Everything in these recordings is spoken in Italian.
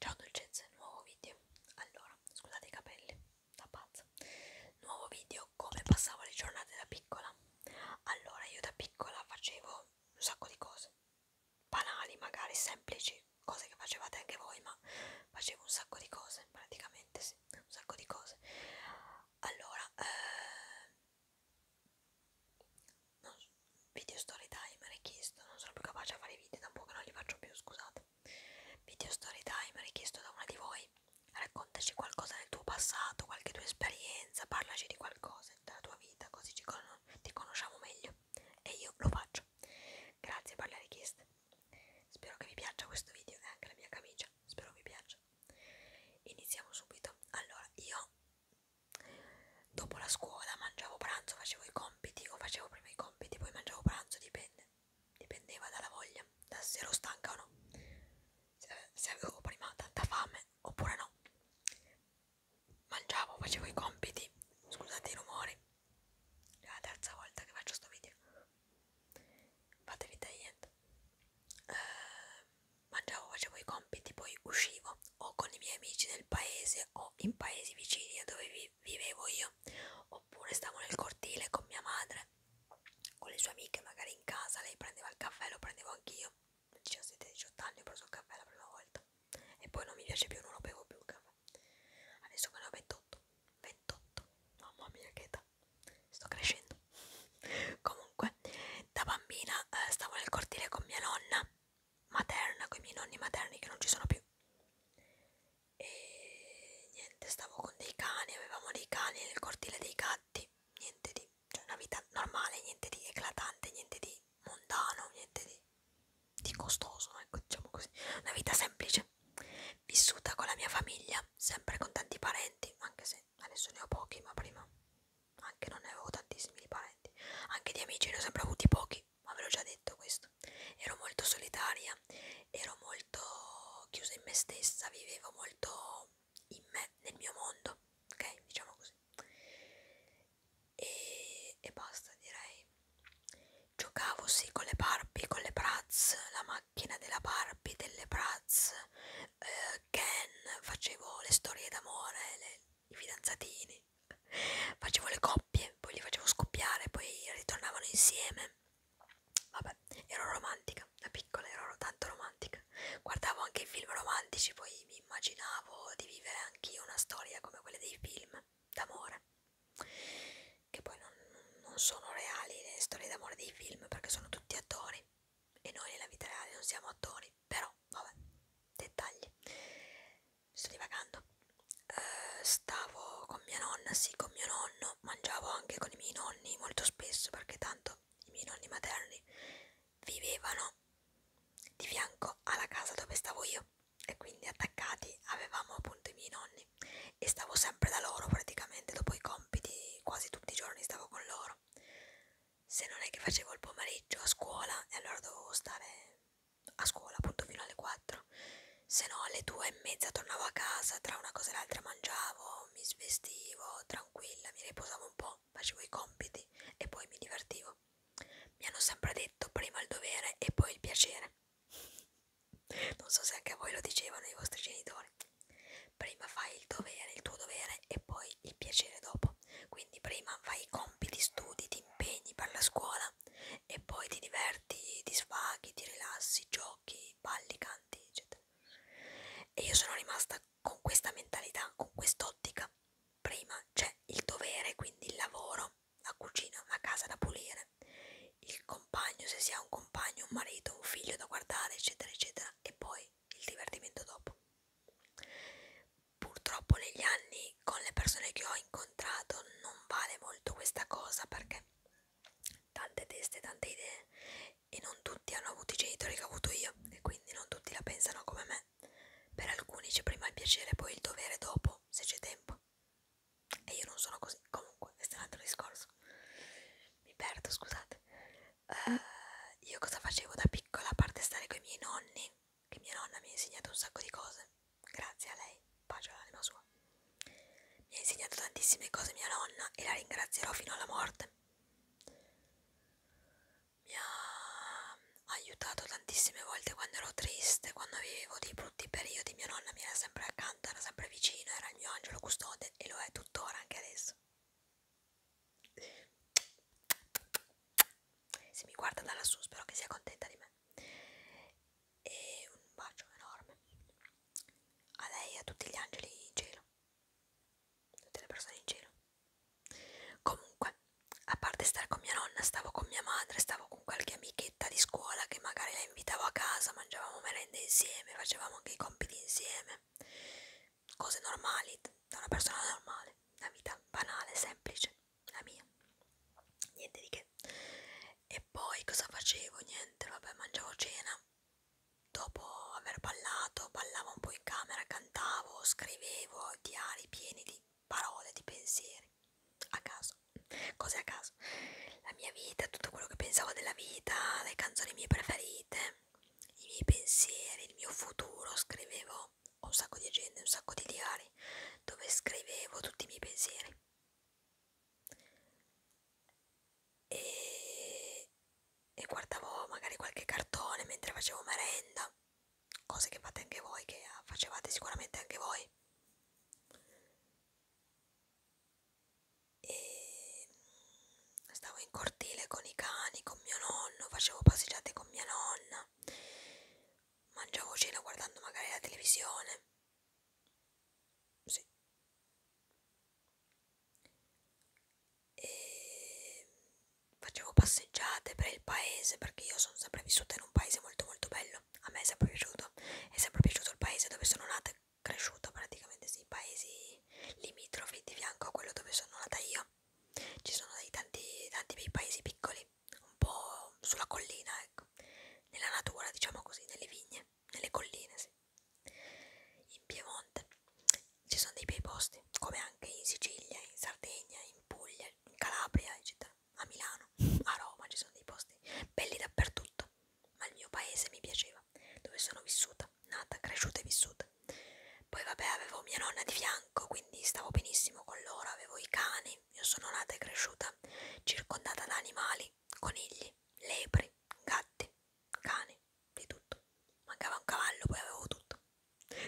Ciao dolcezze, nuovo video. Allora, scusate i capelli, da pazza. Nuovo video, come passavo le giornate da piccola. Allora, io da piccola facevo un sacco di cose. Banali, magari semplici, cose che facevate anche voi, ma facevo un sacco di cose, praticamente sì, un sacco di cose. Allora, eh, non, video story time richiesto, non sono più capace a fare video, da un po' che non li faccio più, scusate. Video story time richiesto da una di voi, raccontaci qualcosa del tuo passato, qualche tua esperienza, parlaci di qualcosa della tua vita, così ci con ti conosciamo meglio. E io lo faccio. Grazie per le richieste. Spero che vi piaccia questo video e anche la mia camicia, spero vi piaccia. Iniziamo subito. Allora, io dopo la scuola mangiavo pranzo, facevo i compiti o facevo prima i compiti, poi mangiavo pranzo, dipende, dipendeva dalla voglia, da se ero stanca o no, se, se avevo prima tanta fame oppure no. Mangiavo, facevo i compiti, scusate i rumori, è la terza volta che faccio sto video, fatevi tagliente. Eh, mangiavo, facevo i compiti, poi uscivo o con i miei amici del paese sud o in paesi vicini a dove vi vivevo io, oppure stavo nel cortile con mia madre, con le sue amiche, magari in casa, lei prendeva il caffè, lo prendevo anch'io, 17-18 anni ho preso il caffè la prima volta e poi non mi piace più, non lo bevo più il caffè. Adesso che ne ho 28, 28, mamma mia che età, sto crescendo. Comunque, da bambina eh, stavo nel cortile con mia nonna materna, con i miei nonni materni che non ci sono più. E niente, stavo con dei cani, avevamo dei cani nel cortile dei gatti, niente di, cioè una vita normale, niente di eclatante, niente di mondano, niente di, di costoso, ecco, diciamo così, una vita semplice, vissuta con la mia famiglia, sempre con tanti parenti, anche se adesso ne ho pochi, ma prima anche non ne avevo tantissimi di parenti, anche di amici ne ho sempre avuti pochi, ma ve l'ho già detto questo. Ero molto solitaria, ero molto chiusa in me stessa, vivevo molto in me, nel mio mondo, ok? Diciamo così. E, e basta, direi. Giocavo sì con le Barbie, con le Bratz, la macchina della Barbie, delle Bratz, eh, Ken, facevo le storie d'amore, le i fidanzatini, facevo le coppie, poi li facevo scoppiare, poi ritornavano insieme. Vabbè, ero romantica, da piccola ero tanto romantica. Guardavo anche i film romantici, poi mi immaginavo di vivere anch'io una storia come quelle dei film d'amore, che poi non, non sono reali le storie d'amore dei film perché sono tutti attori e noi nella vita reale non siamo attori però vabbè dettagli sto divagando eh, stavo con mia nonna sì con mio nonno mangiavo anche con i miei nonni molto spesso perché tanto i miei nonni materni vivevano di fianco alla casa dove stavo io e quindi attaccati avevamo appunto i miei nonni e stavo sempre da loro praticamente dopo i compiti quasi tutti i giorni stavo con loro se non è che facevo il pomeriggio a scuola e allora dovevo stare a scuola appunto fino alle 4 se no alle 2 e mezza tornavo a casa tra una cosa e l'altra mangiavo mi svestivo tranquilla mi riposavo un po' facevo i compiti e poi mi divertivo mi hanno sempre detto prima il dovere e poi il piacere non so se anche a voi lo dicevano i vostri genitori prima fai il dovere il tuo dovere e poi poi il piacere dopo. Quindi prima fai i compiti, studi, ti impegni per la scuola e poi ti diverti, ti sfaghi, ti rilassi, giochi, balli, canti, eccetera. E io sono rimasta con questa mentalità, con quest'ottica. Prima c'è il dovere, quindi il lavoro, la cucina, la casa da pulire, il compagno, se si ha un compagno, un marito, un figlio da guardare, eccetera, eccetera, e poi il divertimento dopo purtroppo negli anni con le persone che ho incontrato non vale molto questa cosa perché tante teste, tante idee e non tutti hanno avuto i genitori che ho avuto io e quindi non tutti la pensano come me. Per alcuni c'è prima il piacere, poi il dovere dopo, se c'è tempo. E io non sono così, comunque, questo è un altro discorso. Mi perdo, scusate uh, io cosa facevo da piccola a parte stare con i miei nonni, che mia nonna mi ha insegnato un sacco di cose, grazie a lei, pace all'anima sua. Mi ha insegnato tantissime cose mia nonna e la ringrazierò fino alla morte. Mi ha aiutato tantissime volte quando ero triste, quando vivevo dei brutti periodi, mia nonna mi era sempre accanto, era sempre vicino, era il mio angelo custode e lo è tuttora anche adesso. Se mi guarda da lassù spero che sia contenta di me. E un bacio enorme a lei e a tutti gli angeli in cielo. Tutte le persone in cielo. Comunque, a parte stare con mia nonna, stavo con mia madre, stavo con qualche amichetta di scuola che magari la invitavo a casa, mangiavamo merende insieme, facevamo anche i compiti insieme cose normali da una persona normale, una vita banale, semplice, la mia, niente di che. E poi cosa facevo? Niente, vabbè, mangiavo cena. Dopo aver ballato, ballavo un po' in camera, cantavo, scrivevo diari pieni di parole, di pensieri, a caso, cose a caso. La mia vita, tutto quello che pensavo della vita, le canzoni mie preferite, i miei pensieri, il mio futuro, scrivevo ho un sacco di agende, un sacco di diari dove scrivevo tutti i miei pensieri e, e guardavo magari qualche cartone mentre facevo merenda cose che fate anche voi, che facevate sicuramente anche voi e stavo in cortile con i cani, con mio nonno, facevo passeggiate con mia nonna, mangiavo cena guardando magari la televisione. Sì. E facevo passeggiate per il paese perché io sono sempre vissuta in un paese molto molto bello. A me è sempre piaciuto, è sempre piaciuto il paese dove sono nata e cresciuta praticamente, sì, i paesi limitrofi di fianco a quello dove sono nata io ci sono dei tanti, tanti bei paesi piccoli, un po' sulla collina, ecco, nella natura, diciamo così, nelle vigne, nelle colline, sì. In Piemonte ci sono dei bei posti, come anche in Sicilia, in Sardegna, in Puglia, in Calabria, eccetera, a Milano, a Roma ci sono dei posti belli dappertutto, ma il mio paese mi piaceva, dove sono vissuta nata, cresciuta e vissuta. Poi vabbè avevo mia nonna di fianco, quindi stavo benissimo con loro, avevo i cani, io sono nata e cresciuta circondata da animali, conigli, lepri, gatti, cani, di tutto. Mancava un cavallo, poi avevo tutto.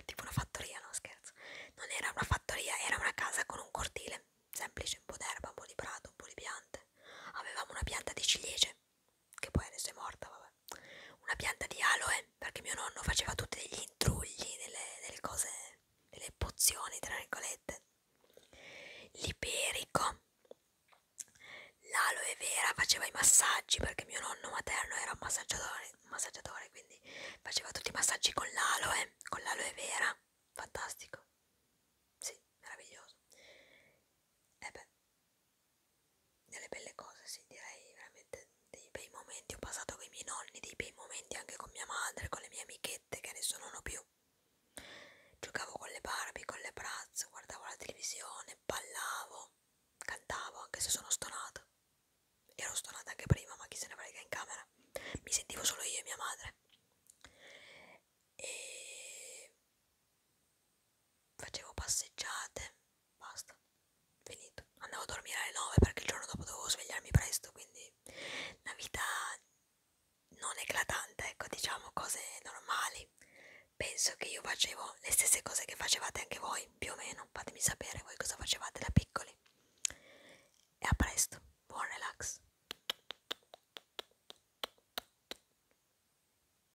Tipo una fattoria, no scherzo. Non era una fattoria, era una casa con un cortile, semplice, un po' d'erba, un po' di prato, un po' di piante. Avevamo una pianta di ciliegie che poi adesso è morta, vabbè, una pianta di aloe, perché mio nonno faceva tutti degli intrugli, delle, delle cose, delle pozioni, tra virgolette, l'iberico, l'aloe vera faceva i massaggi, perché mio nonno materno era un massaggiatore, un massaggiatore quindi faceva tutti i massaggi con l'aloe, con l'aloe vera, fantastico, sì, meraviglioso, e eh beh, delle belle cose, sì, direi veramente dei bei momenti. Ho passato con i miei nonni, dei bei momenti anche con mia madre, con le mie amichette che adesso non ho più. Giocavo con le Barbie, con le Bratz, guardavo la televisione, ballavo, cantavo anche se sono stonata. Ero stonata anche prima, ma chi se ne frega in camera. Mi sentivo solo io e mia madre. E facevo passeggiate basta, finito. Andavo a dormire alle 9 perché il giorno dopo dovevo svegliarmi presto, quindi una vita non eclatante, ecco, diciamo cose normali. Penso che io facevo le stesse cose che facevate anche voi, più o meno. Fatemi sapere voi cosa facevate da piccoli. E a presto, buon relax.